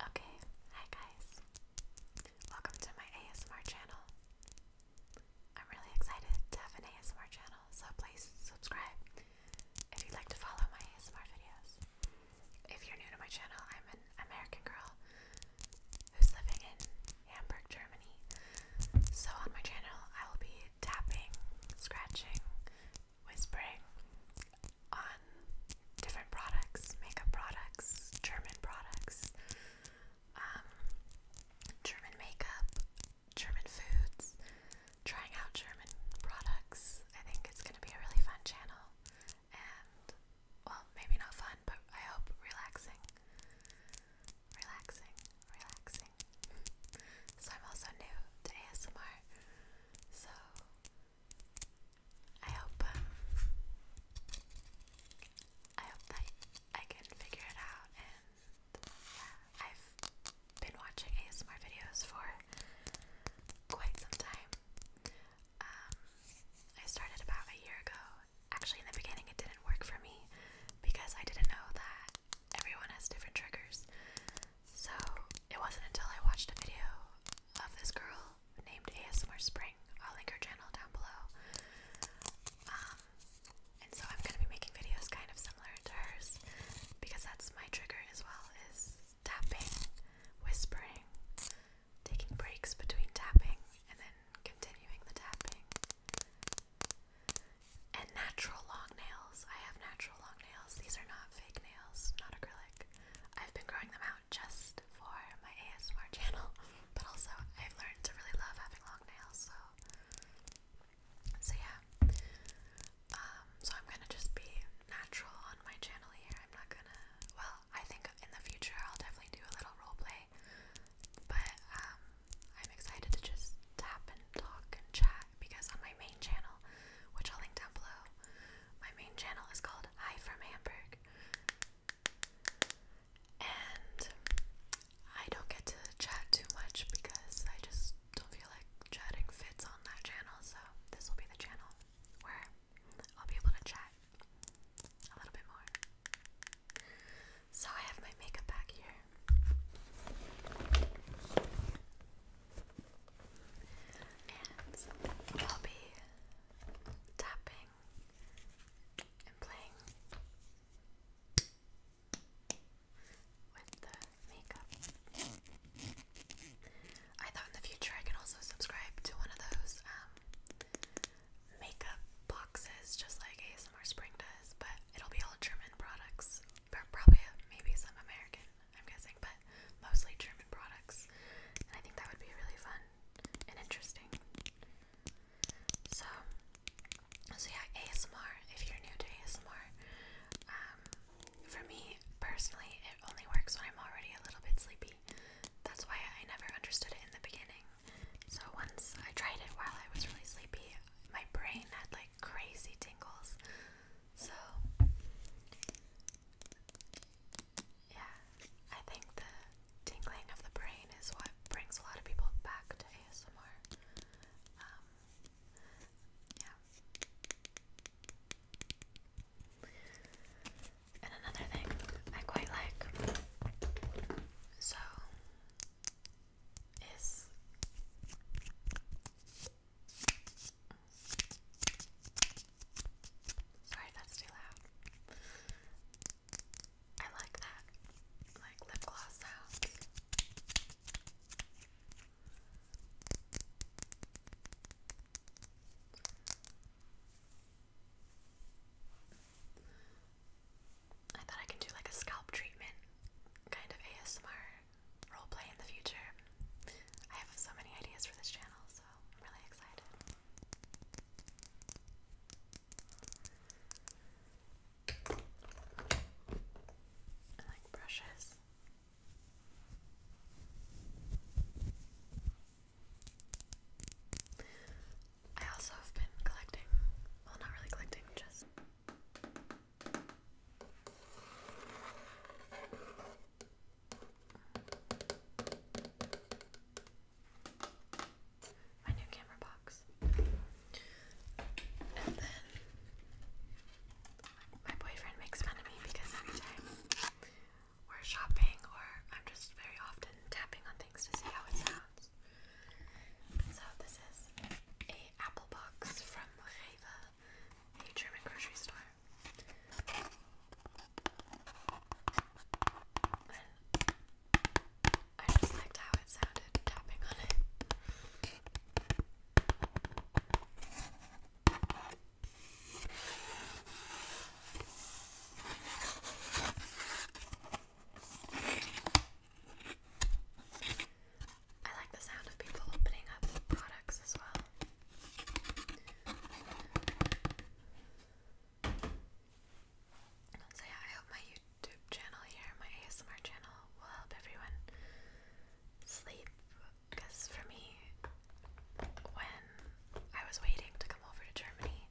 Okay, hi guys. Welcome to my ASMR channel. I'm really excited to have an ASMR channel, so please subscribe if you'd like to follow my ASMR videos. If you're new to my channel, I'm an American girl who's living in Hamburg, Germany. So on my channel, I will be tapping, scratching, whispering, on different products, makeup products, German products, um, German makeup, German foods, trying out German products. I think it's going to be a really fun channel and, well, maybe not fun, but I hope relaxing. Relaxing, relaxing. so I'm also new to ASMR, so I hope um, I hope that I can figure it out and I've been watching ASMR videos for quite some time. Um, I started about a year ago. Actually in the beginning it didn't work for me because I didn't know that everyone has different triggers. So it wasn't until I watched a video of this girl named ASMR Spring. I'll link her channel down below. Um, and so I'm gonna be making videos kind of similar to hers because that's my trigger as well is tapping, whispering, taking breaks between tapping and then continuing the tapping. And natural long nails. I have natural long nails. These are not fake nails, not acrylic. I've been growing them out just for my ASMR channel, but also I've learned to really love having long nails, so so yeah. Um, so I'm gonna just be natural on my channel here. I'm not gonna well, I think in the future I'll definitely do a little role play. But um, I'm excited to just tap and talk and chat because on my main channel, which I'll link down below, my main channel is called Hi from Hamburg. And I don't get to chat too much because I just don't feel like chatting fits on that channel, so this will be the channel where I'll be able to chat a little bit more. So I have my makeup back here. I'll be tapping and playing with the makeup. I thought in the future I could also subscribe to one of those um, makeup boxes, just like ASMR Spring does, but it'll be all German products, but probably maybe some American. I'm guessing, but mostly German products. And I think that would be really fun and interesting. So, so yeah, ASMR, if you're new to ASMR, um, for me personally, it only works when I'm already a little bit sleepy. That's why I never understood it in the beginning. So once I tried it while I was really sleepy, my brain had like crazy tingles. So, yeah, I think the tingling of the brain is what brings a lot of people back to ASMR. Um, yeah. And another thing I quite like so is Sorry, that's too loud. I like that, like lip gloss sounds. I thought I could do like a scalp treatment, kind of ASMR Role play in the future. I have so many ideas for this channel, so I'm really excited. I like brushes. I also have been collecting, well, not really collecting, just my new camera box. And then my boyfriend makes fun of me because every time we're shopping or I'm just very often tapping on things to see how it sounds. So this is a apple box from Reva a German grocery store. I just liked how it sounded tapping on it. I like the sound of people opening up products as well. So yeah, I hope my YouTube channel here, my ASMR channel, will help everyone sleep. Because for me, when I was waiting to come over to Germany,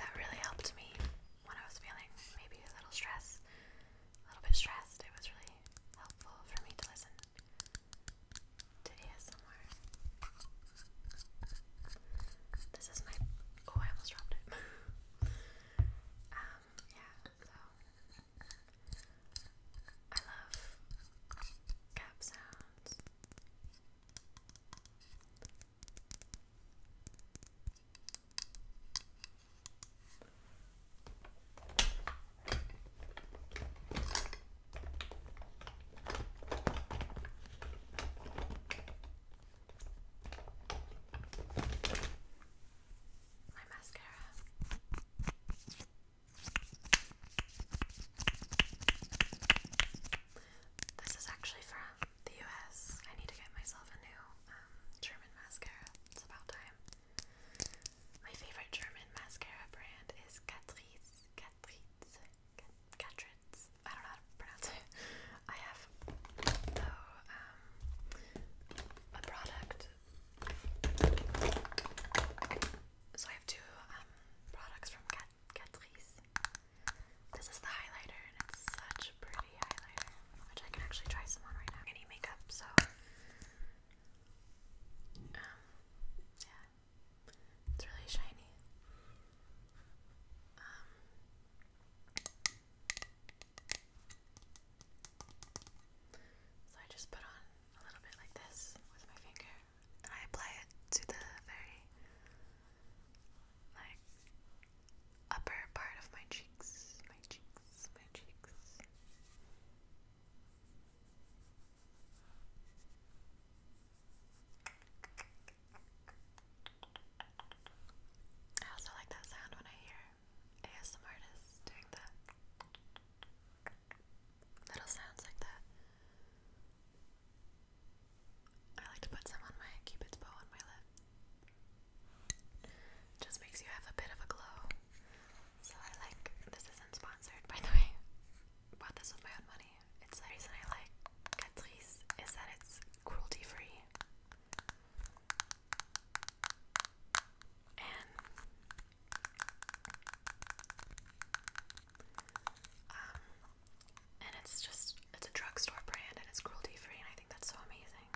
that really helped me when I was feeling maybe a little stressed a little bit stressed, it was really helpful for me to listen to ASMR. This is my. Oh, I almost dropped it. um, yeah, so. I love cap sounds. My mascara. This is actually from the US. I need to get myself a new um, German mascara. It's about time. My favorite German mascara brand is Catrice. Catrice. Catrice. I don't know how to pronounce it. I have though um a product. So I have two um products from Cat Catrice. This is the highlighter and it's such pretty highlighter, which I can actually try some on right now. Any makeup, so um, yeah, it's really shiny. Um, so I just put on a little bit like this with my finger, and I apply it to the very like upper part of my cheeks, my cheeks, my cheeks. I also like that sound when I hear ASM artists doing that. Little sounds like that. I like to put some on my cupid's bow on my lip. Just makes you have a bit of a glow. So I like this isn't sponsored by the way. Bought this with my own money. It's the reason I like Catrice is that it's cruelty free. And um and it's just it's a drugstore brand and it's cruelty free and I think that's so amazing.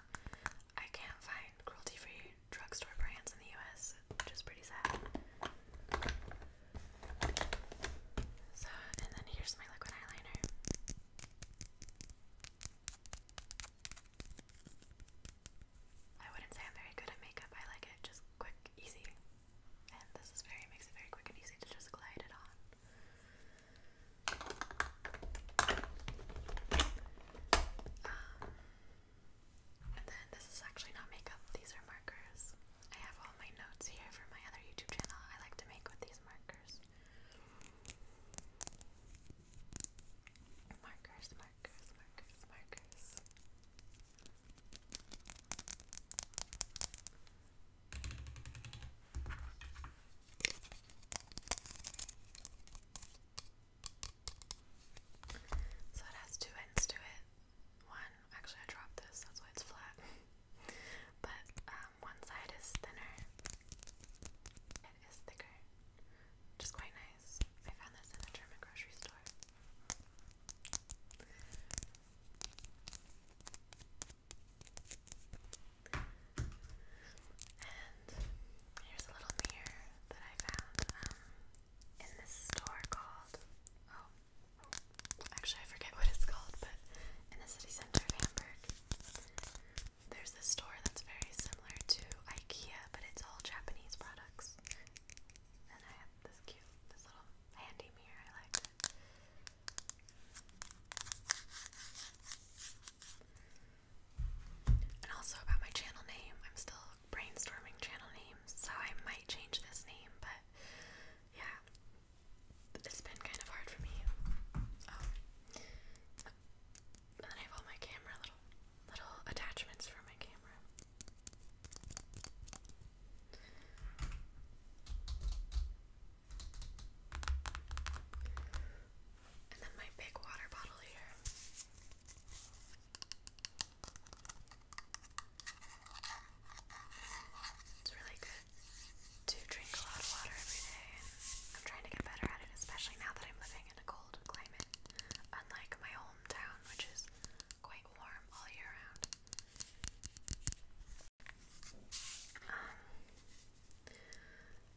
I can't find cruelty-free drugstore brands in the US, which is pretty sad. So, and then here's my liquid eyeliner. I wouldn't say I'm very good at makeup. I like it just quick, easy. And this is very makes it very quick and easy to just glide it on. Um, and then this is actually not makeup, these are markers. I have all my notes here for my other YouTube channel. I like to make with these markers. Markers, markers, markers, markers. So it has two ends to it. One, actually, I dropped this, that's why it's flat. but um, one side is thinner, it is thicker, which quite nice. I found this in a German grocery store. And here's a little mirror that I found um, in this store called, oh, actually I forget what it's called, but in the city center of Hamburg, there's this store that's very similar to IKEA, but it's all Japanese products. And I have this cute, this little handy mirror, I liked and also about my channel name, I'm still brainstorming channel names, so I might change this name, but yeah, it's been kind of hard for me. Oh. And then I have all my camera little little attachments for my camera. And then my big water bottle here. It's really good to drink a lot of water every day, I'm trying to get better at it, especially now that I'm living in a cold climate, unlike my hometown, which is quite warm all year round. Um,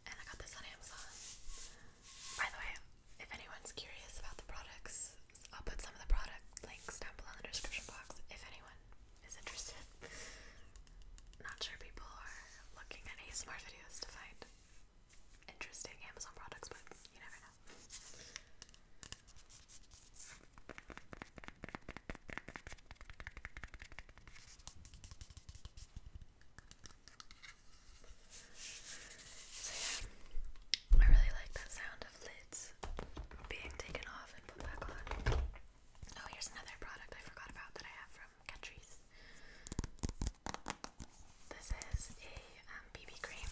and I got this on Amazon. By the way, if anyone's curious about the products, I'll put some of the product links down below in the description box if anyone is interested. Not sure people are looking at ASMR videos to find interesting Amazon products, but you never know. So yeah, I really like that sound of lids being taken off and put back on. Oh, here's another product I forgot about that I have from Catrice. This is a BB um, cream.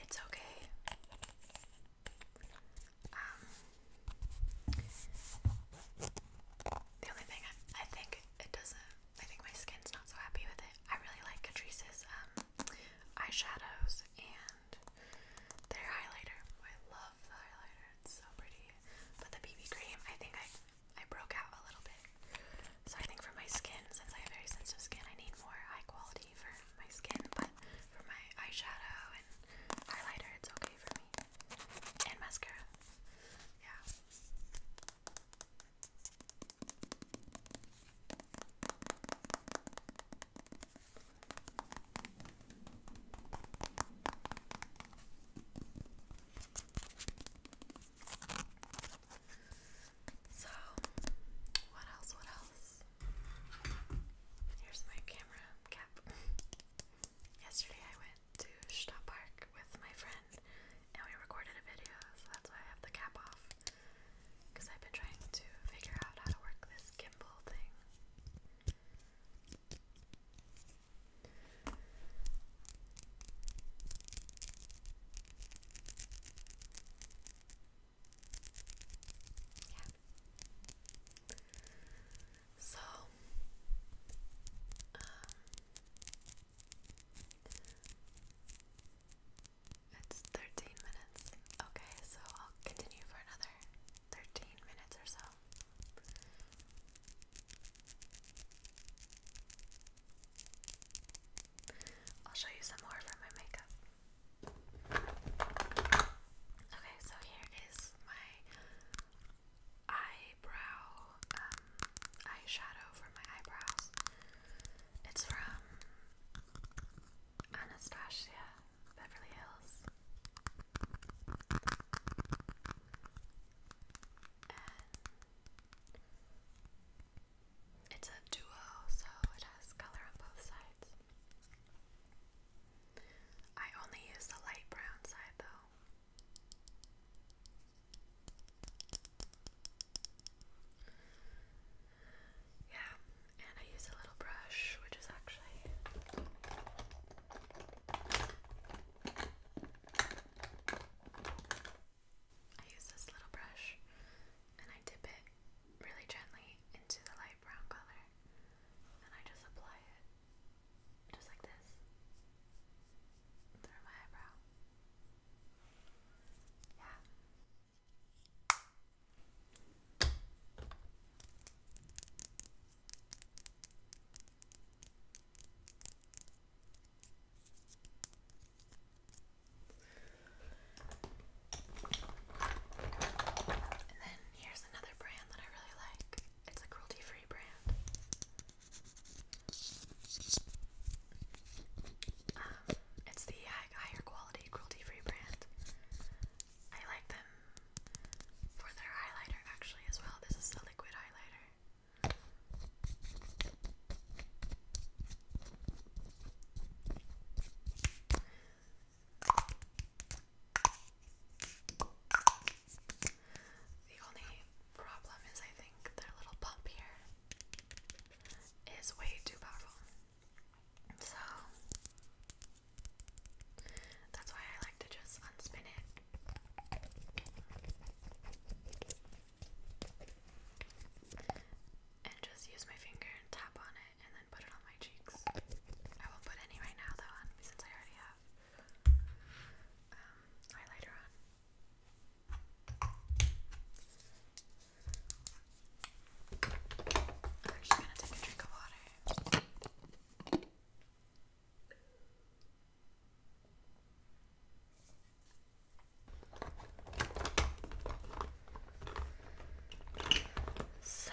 It's okay the only thing I, I think it doesn't, I think my skin's not so happy with it. I really like Catrice's um, eyeshadows and their highlighter. I love the highlighter, it's so pretty. But the BB cream, I think I, I broke out a little bit. So I think for my skin, since I have very sensitive skin, I need more high quality for my skin, but for my eyeshadow and highlighter, it's okay for me me. And mascara. Yeah. So, what else? What else? Here's my camera cap. Yesterday I went to Stadt Park with my friend and we recorded a video, so that's why I have the cap off. Because I've been trying to figure out how to work this gimbal thing. Yeah. So, um, it's 13 minutes. Okay, so I'll continue for another 13 minutes or so. I'll show you some more from my makeup. Okay, so here is my eyebrow um, eyeshadow for my eyebrows. It's from Anastasia Beverly Hills. it's a duo, so it has color on both sides. I only use the light brown side though. Yeah, and I use a little brush, which is actually I use this little brush and I dip it really gently into the light brown color and I just apply it just like this through my eyebrow. Yeah. And then here's another brand that I really like. It's a cruelty free brand. Um, it's the higher quality cruelty free brand. I like them for their highlighter actually as well. This is the liquid highlighter. The only problem is, I think their little pump here is way too powerful. So that's why I like to just unspin it. And just use my finger and tap on it and then put it on my cheeks. I won't put any right now though, um, since I already have um, highlighter on. I'm just gonna take a drink of water. So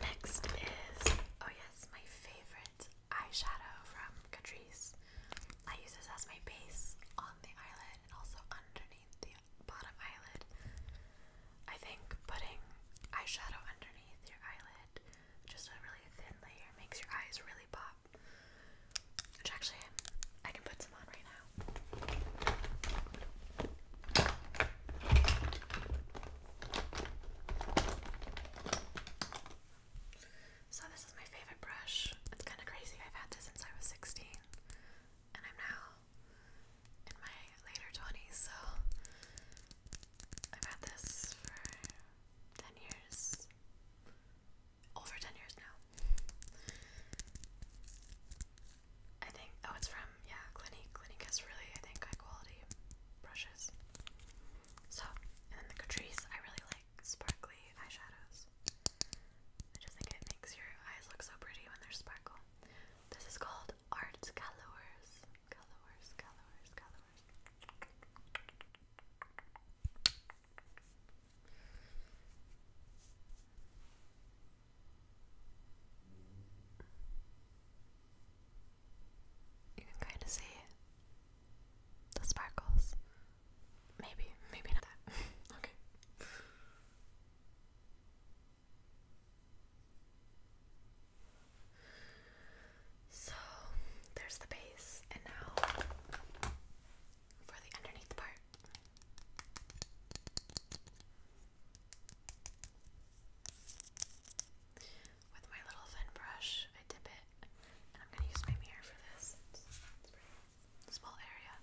next is oh yes, my favorite eyeshadow from Catrice. I use this as my base on the eyelid and also underneath the bottom eyelid. I think putting eyeshadow underneath your eyelid, just a really thin layer, makes your eyes really pop. Which actually I can put some on right now. So, this is my favorite brush. It's kind of crazy. I've had this since I was 16, and I'm now in my later 20s, so I've had this for 10 years. Over 10 years now. I think oh it's from yeah Clinique. Clinique has really I think high quality brushes. So and then the Catrice I really like sparkly eyeshadows. I just think it makes your eyes look so pretty when they're sparkle. This is called Art Colors. Colors, colors, colors. You can kind of see the sparkles. Maybe, maybe not that. okay. So there's the base, and now for the underneath part. With my little thin brush, I dip it, and I'm gonna use my mirror for this. small area.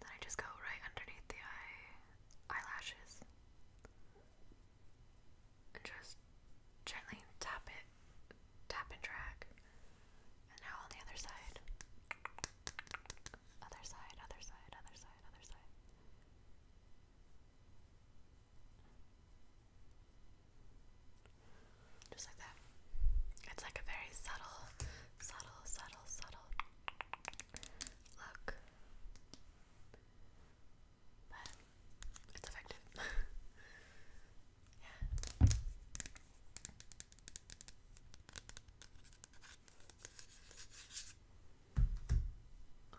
Then I just go right underneath the eye eyelashes and just gently tap it, tap and drag. And now on the other side. Other side, other side, other side, other side. Just like that. It's like a very subtle, subtle, subtle, subtle look. But it's effective. yeah.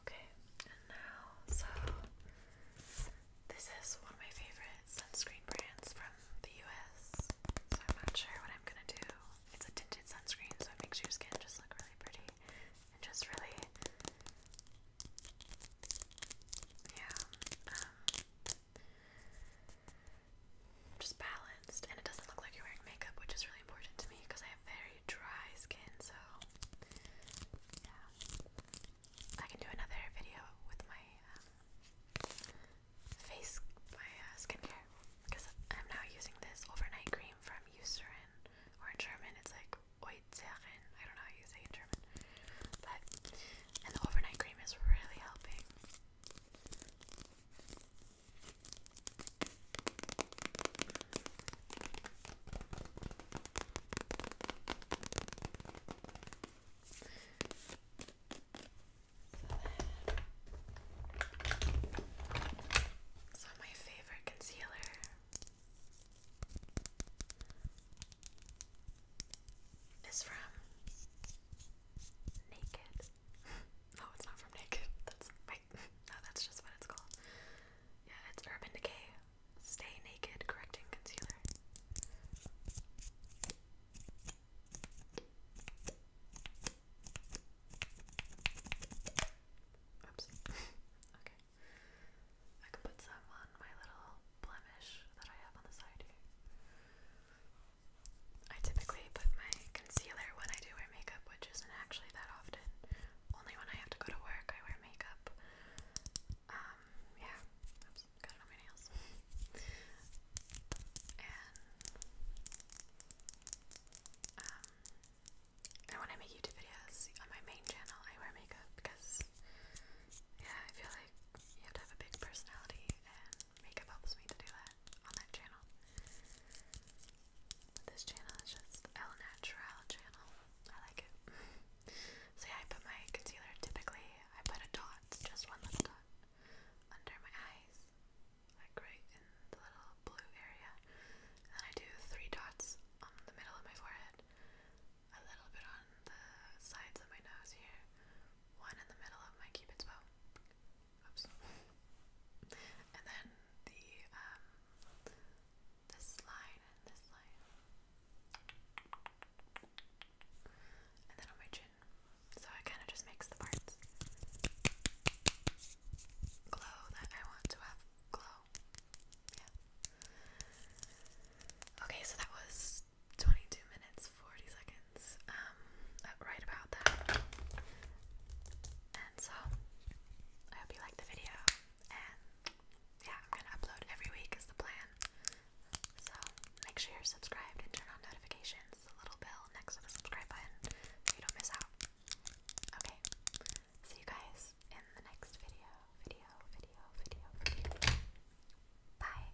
Okay, and now, so this is one of my favorite sunscreen brands from the US. So I'm not sure what I'm gonna do. It's a tinted sunscreen, so it makes your skin just look really pretty and just really, yeah. Um, just balanced, and it doesn't look like you're wearing makeup, which is really important to me because I have very dry skin. So, yeah, I can do another video with my um, face, my uh, skincare, because I'm now using this overnight cream from Eucerin, or in German, it's like Oizeren. I don't know how you say in German, but and the overnight cream is really helping. So my favorite concealer. Is from Naked. no, it's not from Naked. That's wait. No, that's just what it's called. Yeah, it's Urban Decay. Stay Naked Correcting Concealer. Oops. okay. I could put some on my little blemish that I have on the side here. I typically put my concealer when I do wear makeup, which isn't actually that often. Only when I have to go to work, I wear makeup. Um, yeah. Oops, got it on my nails. and, um, and when I make YouTube videos on my main channel, I wear makeup because, yeah, I feel like you have to have a big personality makeup helps me to do that on that channel. this channel is just El Natural channel. I like it. so I put my concealer, typically I put a dot, just one little dot, under my eyes, like right in the little blue area. then I do three dots on the middle of my forehead, a little bit on the sides of my nose here, one in the middle of my cupid's bow, and then the um this line and this line. And then on my chin. So it kind of just makes the parts glow that I want to have glow. Yeah. Okay, so that was 22 minutes 47 um, uh, right about that. And so, I hope you like the video, and yeah, I'm gonna upload every week is the plan. So, make sure you're subscribed and turn on notifications, the little bell next to the subscribe button, so you don't miss out. Okay, see you guys in the next video, video, video, video, video. Bye.